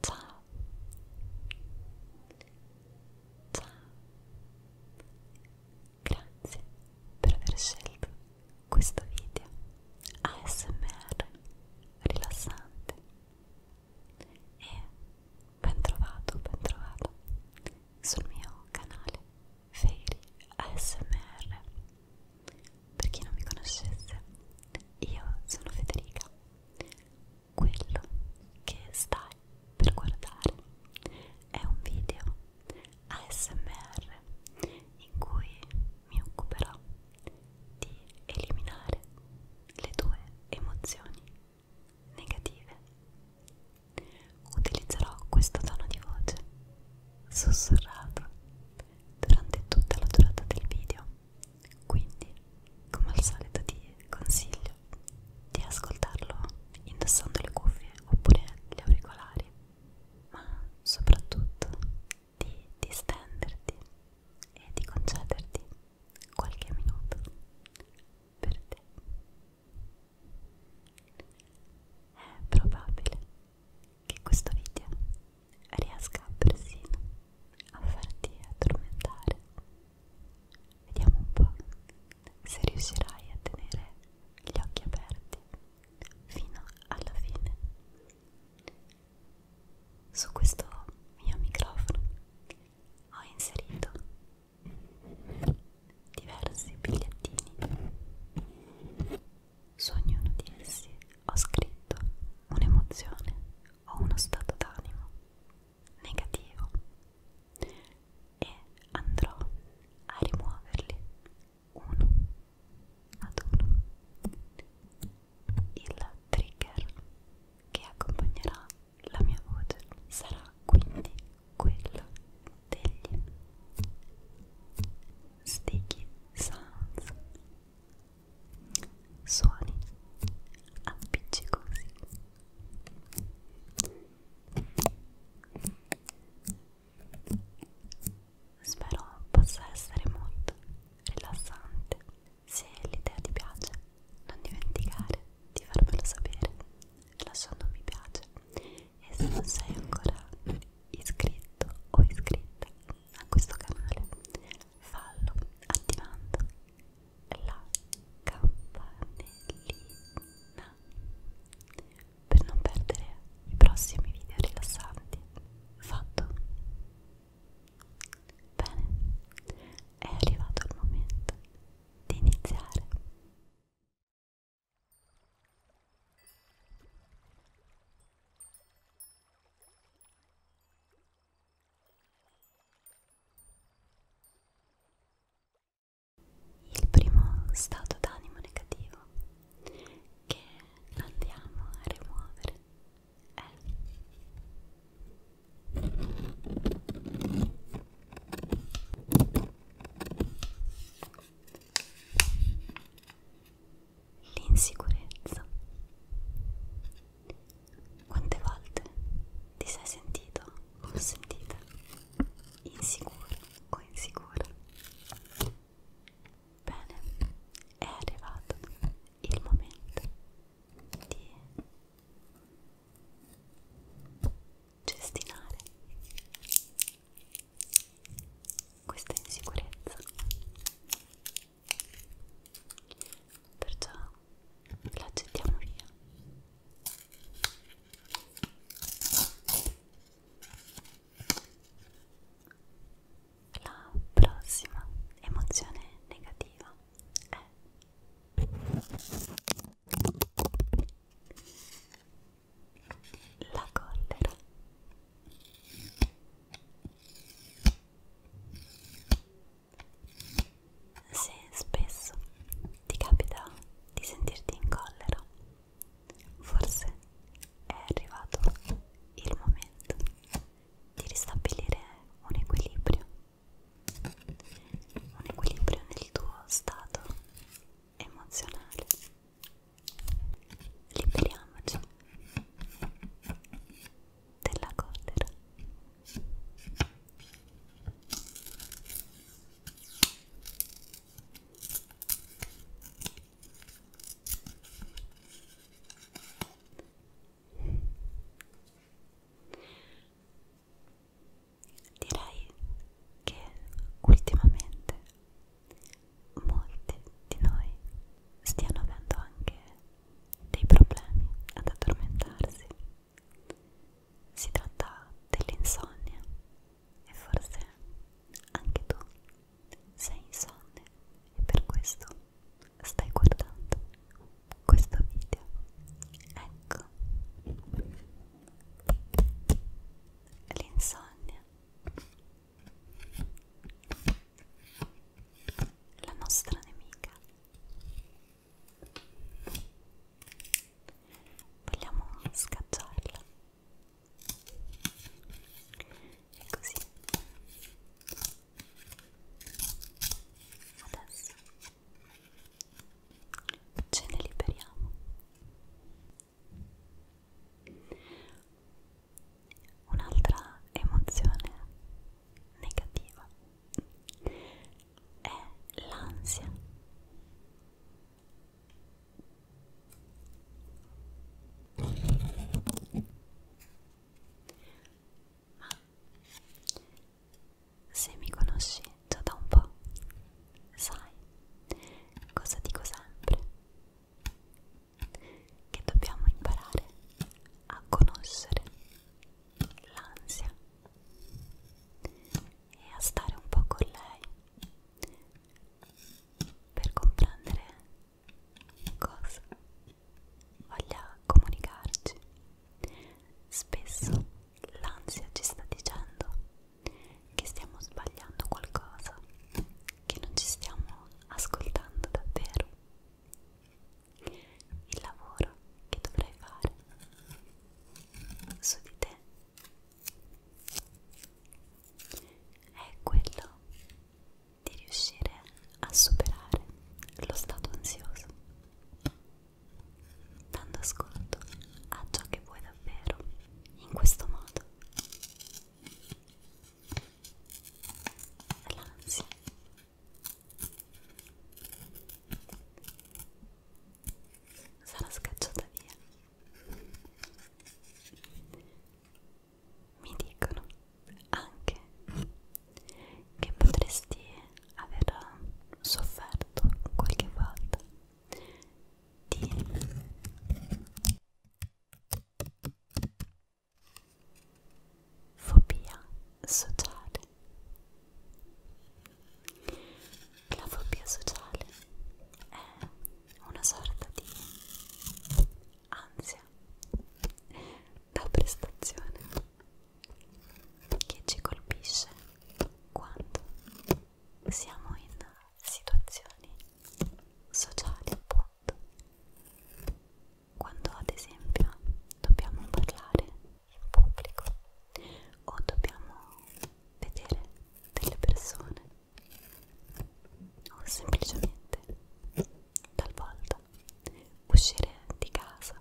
Ciao. Ciao. Grazie per aver scelto questo video ASMR rilassante. E ben trovato, ben trovato sul mio canale Fairy ASMR per chi non mi conoscesse, io sono Federica, quello che stai per guardare è un video ASMR in cui mi occuperò di eliminare le tue emozioni negative. Utilizzerò questo tono di voce sussurrato durante tutta la durata del video quindi, come al solito ti consiglio di ascoltarlo indossando le cuffie oppure gli auricolari, ma soprattutto di distenderti e di concederti qualche minuto per te. È probabile che questo video riesca persino a farti addormentare. Vediamo un po' se riuscirai a tenere gli occhi aperti fino alla fine. Su questo mio microfono ho inserito diversi bigliettini su ognuno di essi ho scritto un'emozione o uno stato d'animo negativo e andrò a rimuoverli uno ad uno. Il trigger che accompagnerà la mia voce sarà quindi quello degli sticky sounds suoni appiccicosi spero possa essere molto rilassante se l'idea ti piace non dimenticare di farmelo sapere lasciando un mi piace e se non sei ancora iscritto o iscritta a questo canale fallo attivando la campanellina per non perdere i prossimi video rilassanti fatto bene è arrivato il momento di iniziare il primo stato d'animo negativo che andiamo a rimuovere è L'insicurezza. Quante volte ti sei sentito o sentita insicuro o insicura? Bene, è arrivato il momento di gestinare questa insicurezza perciò la gettiamo via la prossima emozione negativa è la collera se spesso ti capita di sentirti in collera, forse è arrivato il momento di ristabilire un equilibrio, un equilibrio nel tuo stato emozionale. Liberiamoci della collera. Direi che ultimamente molti di noi stiano avendo anche dei problemi ad addormentarsi. Si tratta dell'insonnia e forse anche tu sei insonne e per questo stai guardando questo video. Ecco, l'insonnia, la nostra nemica vogliamo scacciarla e così adesso ce ne liberiamo un'altra emozione negativa è l'ansia ma se mi conosci già da un po' sai cosa dico sempre che dobbiamo imparare a conoscere l'ansia e a stare un po' con lei per comprendere cosa voglia comunicarci. Spesso l'ansia ci sta dicendo che stiamo sbagliando qualcosa, che non ci stiamo ascoltando davvero il lavoro che dovrai fare su di te è quello di riuscire a superare lo stato ansioso dando ascolto a ciò che vuoi davvero in questo modo l'ansia sarà scacciata via mi dicono anche che potresti aver sofferto qualche volta di Fobia sociale. La fobia sociale è una sorta di ansia da prestazione che ci colpisce quando siamo in situazioni sociali appunto quando ad esempio dobbiamo parlare in pubblico o dobbiamo vedere delle persone o semplicemente talvolta uscire di casa,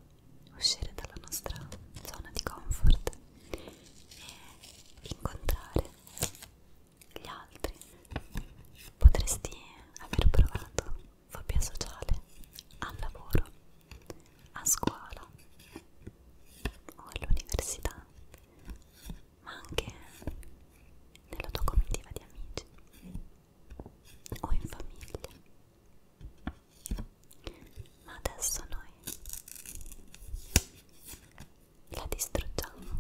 uscire dalla nostra zona di comfort e incontrare gli altri potresti aver provato fobia sociale, al lavoro, a scuola o all'università, ma anche nella tua comitiva di amici o in famiglia. Ma adesso noi la distruggiamo.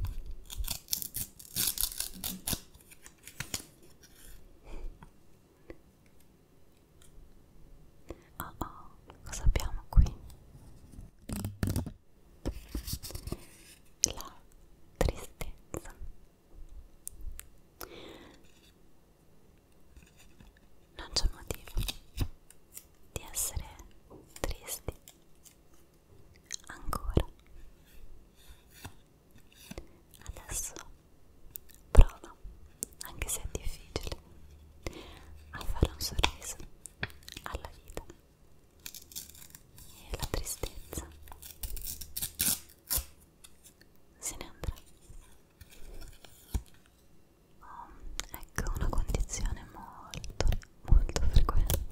Oh oh, cosa abbiamo qui? La tristezza. Non c'è motivo di essere tristi ancora Adesso prova, anche se è difficile, a fare un sorriso alla vita e la tristezza se ne andrà. Oh, ecco una condizione molto molto frequente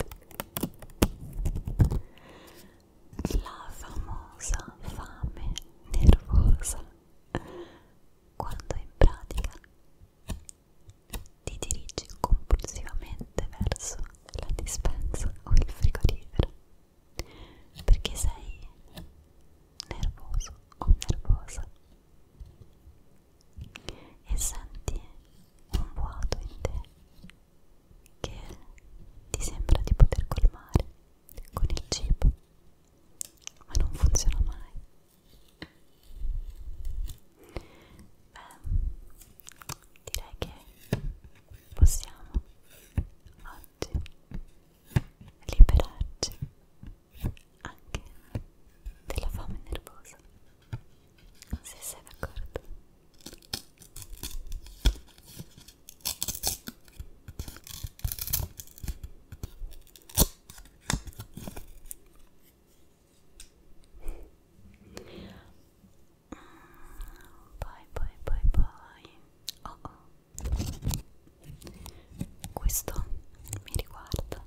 la famosa fame nervosa quando in pratica ti dirigi compulsivamente verso la dispensa o il frigorifero perché sei nervoso o nervosa e senti un vuoto in te che ti sembra di poter colmare con il cibo ma non funziona mai beh direi che possiamo oggi liberarci anche della fame nervosa se sei d'accordo poi, poi, poi, poi. Oh, oh. Questo mi riguarda.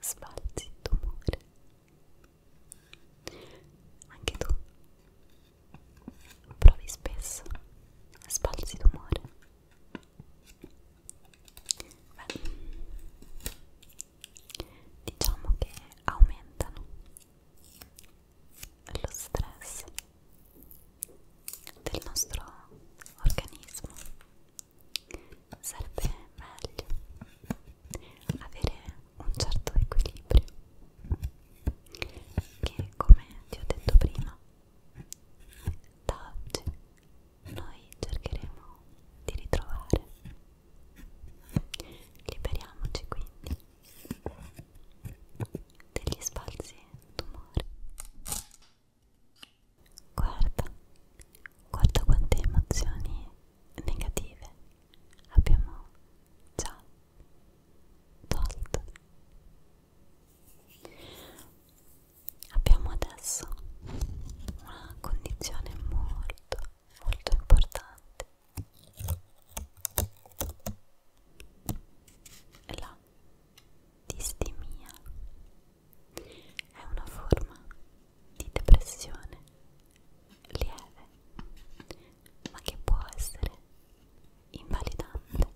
Sbalzi, tumore. Anche tu provi spesso sbalzi d'umore. Beh, diciamo che aumentano lo stress del nostro organismo. Sarebbe meglio avere un certo equilibrio che come ti ho detto prima da oggi noi cercheremo di ritrovare liberiamoci quindi degli sbalzi d'umore guarda guarda quante emozioni negative abbiamo già tolto abbiamo adesso una condizione molto molto importante la distimia è una forma di depressione lieve ma che può essere invalidante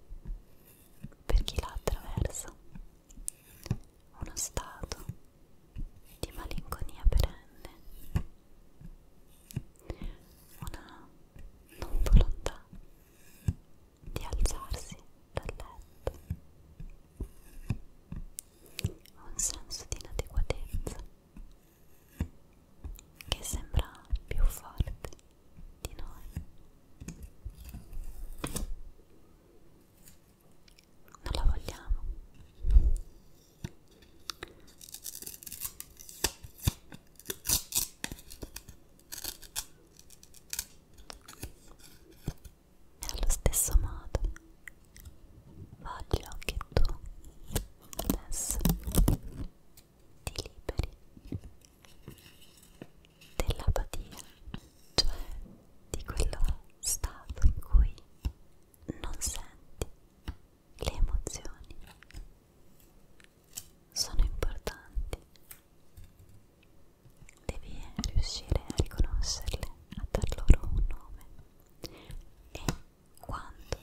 per chi la attraversa. Uno stato di malinconia perenne, una non volontà di alzarsi dal letto, un senso di inadeguatezza che sembra più forte di noi non la vogliamo e allo stesso modo voglio che tu adesso ti liberi dell'apatia, cioè di quello stato in cui non senti le emozioni sono importanti devi riuscire a riconoscerle a dar loro un nome e quando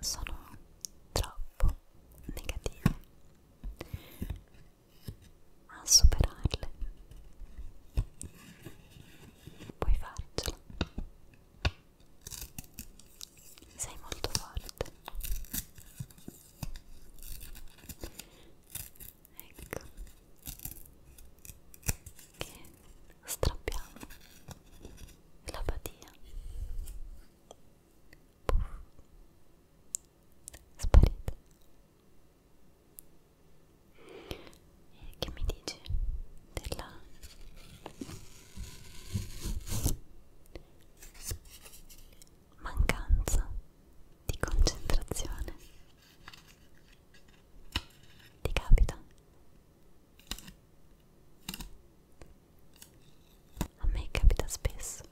sono troppo negativa a superarle puoi farcela sei molto forte ecco che strappiamo l'apatia Puff. sparita e che mi dici della mancanza di concentrazione ti capita a me capita spesso.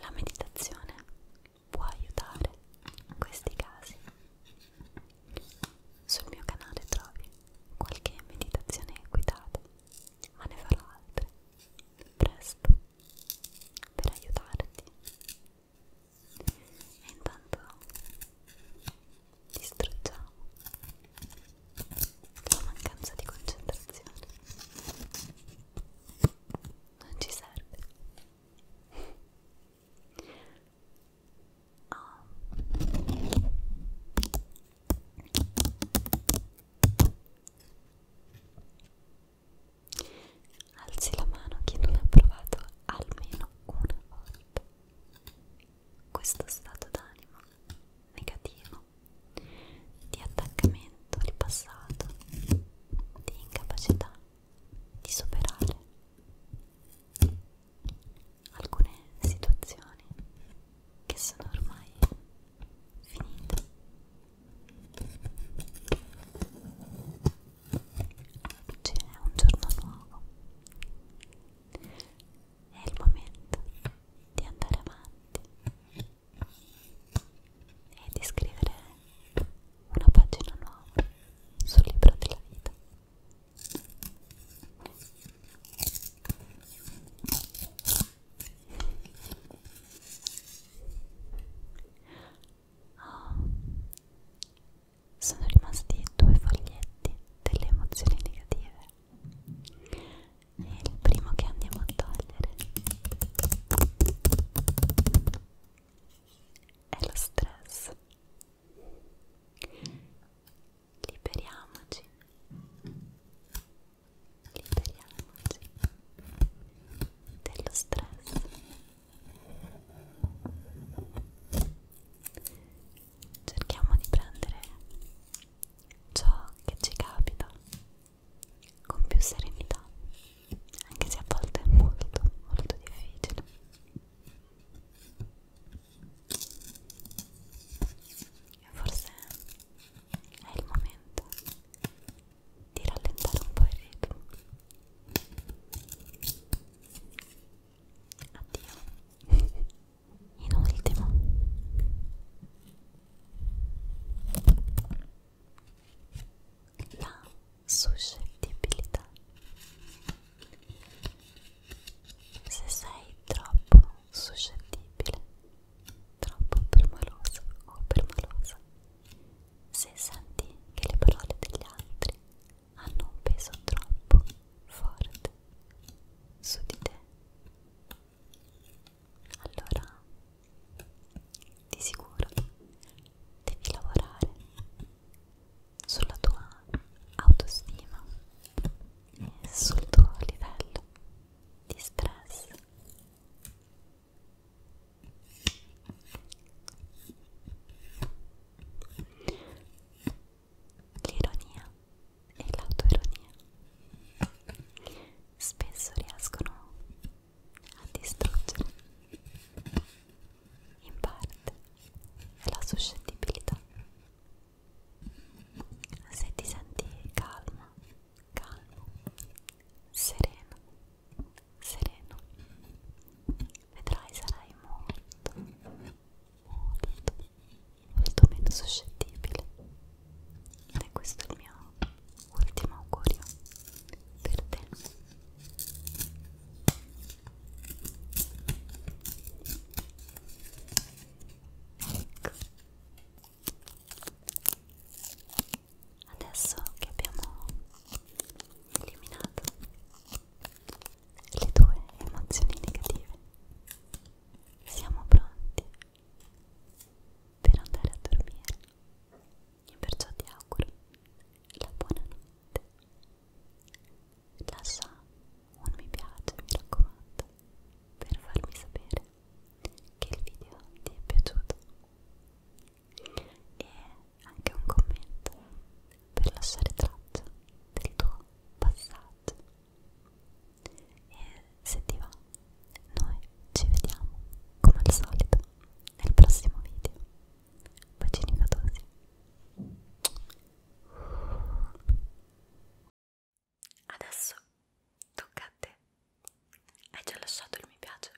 La meditazione può aiutare in questi casi. Sul mio canale trovi qualche meditazione guidata, ma ne farò altre presto per aiutarti. E intanto distruggiamo la mancanza di concentrazione non ci serve oh. Alzi la mano chi non ha provato almeno una volta questo stato d'animo negativo di attaccamento al passato, di incapacità di superare alcune situazioni che sono ormai finite. Oggi è un giorno nuovo è il momento di andare avanti e di scrivere una pagina nuova sul libro della vita. Oh, sono rimasti due foglietti delle emozioni negative è il primo che andiamo a togliere è lo stress liberiamoci liberiamoci dello stress cerchiamo di prendere ciò che ci capita con più serenità, anche se a volte è molto, molto difficile. E forse è il momento di rallentare un po' il ritmo. Addio. in ultimo la suscettibilità se sei troppo suscettibile troppo permaloso o permalosa se senti che le parole degli altri hanno un peso troppo forte su di te allora di sicuro devi lavorare sulla tua autostima e sul tuo livello di stress l'ironia e l'autoironia spesso riescono a distruggere in parte la suscettibilità se ti senti calma calmo sereno sereno vedrai sarai molto molto molto meno suscettibili ed è questo il mio ultimo augurio per te ecco adesso che abbiamo eliminato le tue emozioni negative siamo pronti per andare a dormire e perciò ti auguro la buonanotte lascia un mi piace mi raccomando per farmi sapere che il video ti è piaciuto e anche un commento per lasciare traccia del tuo passaggio e se ti va, noi ci vediamo come al solito nel prossimo video. Bacini catosi. Adesso tocca a te. Hai già lasciato il mi piace?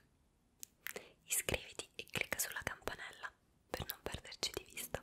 Iscriviti e clicca sulla campanella per non perderci di vista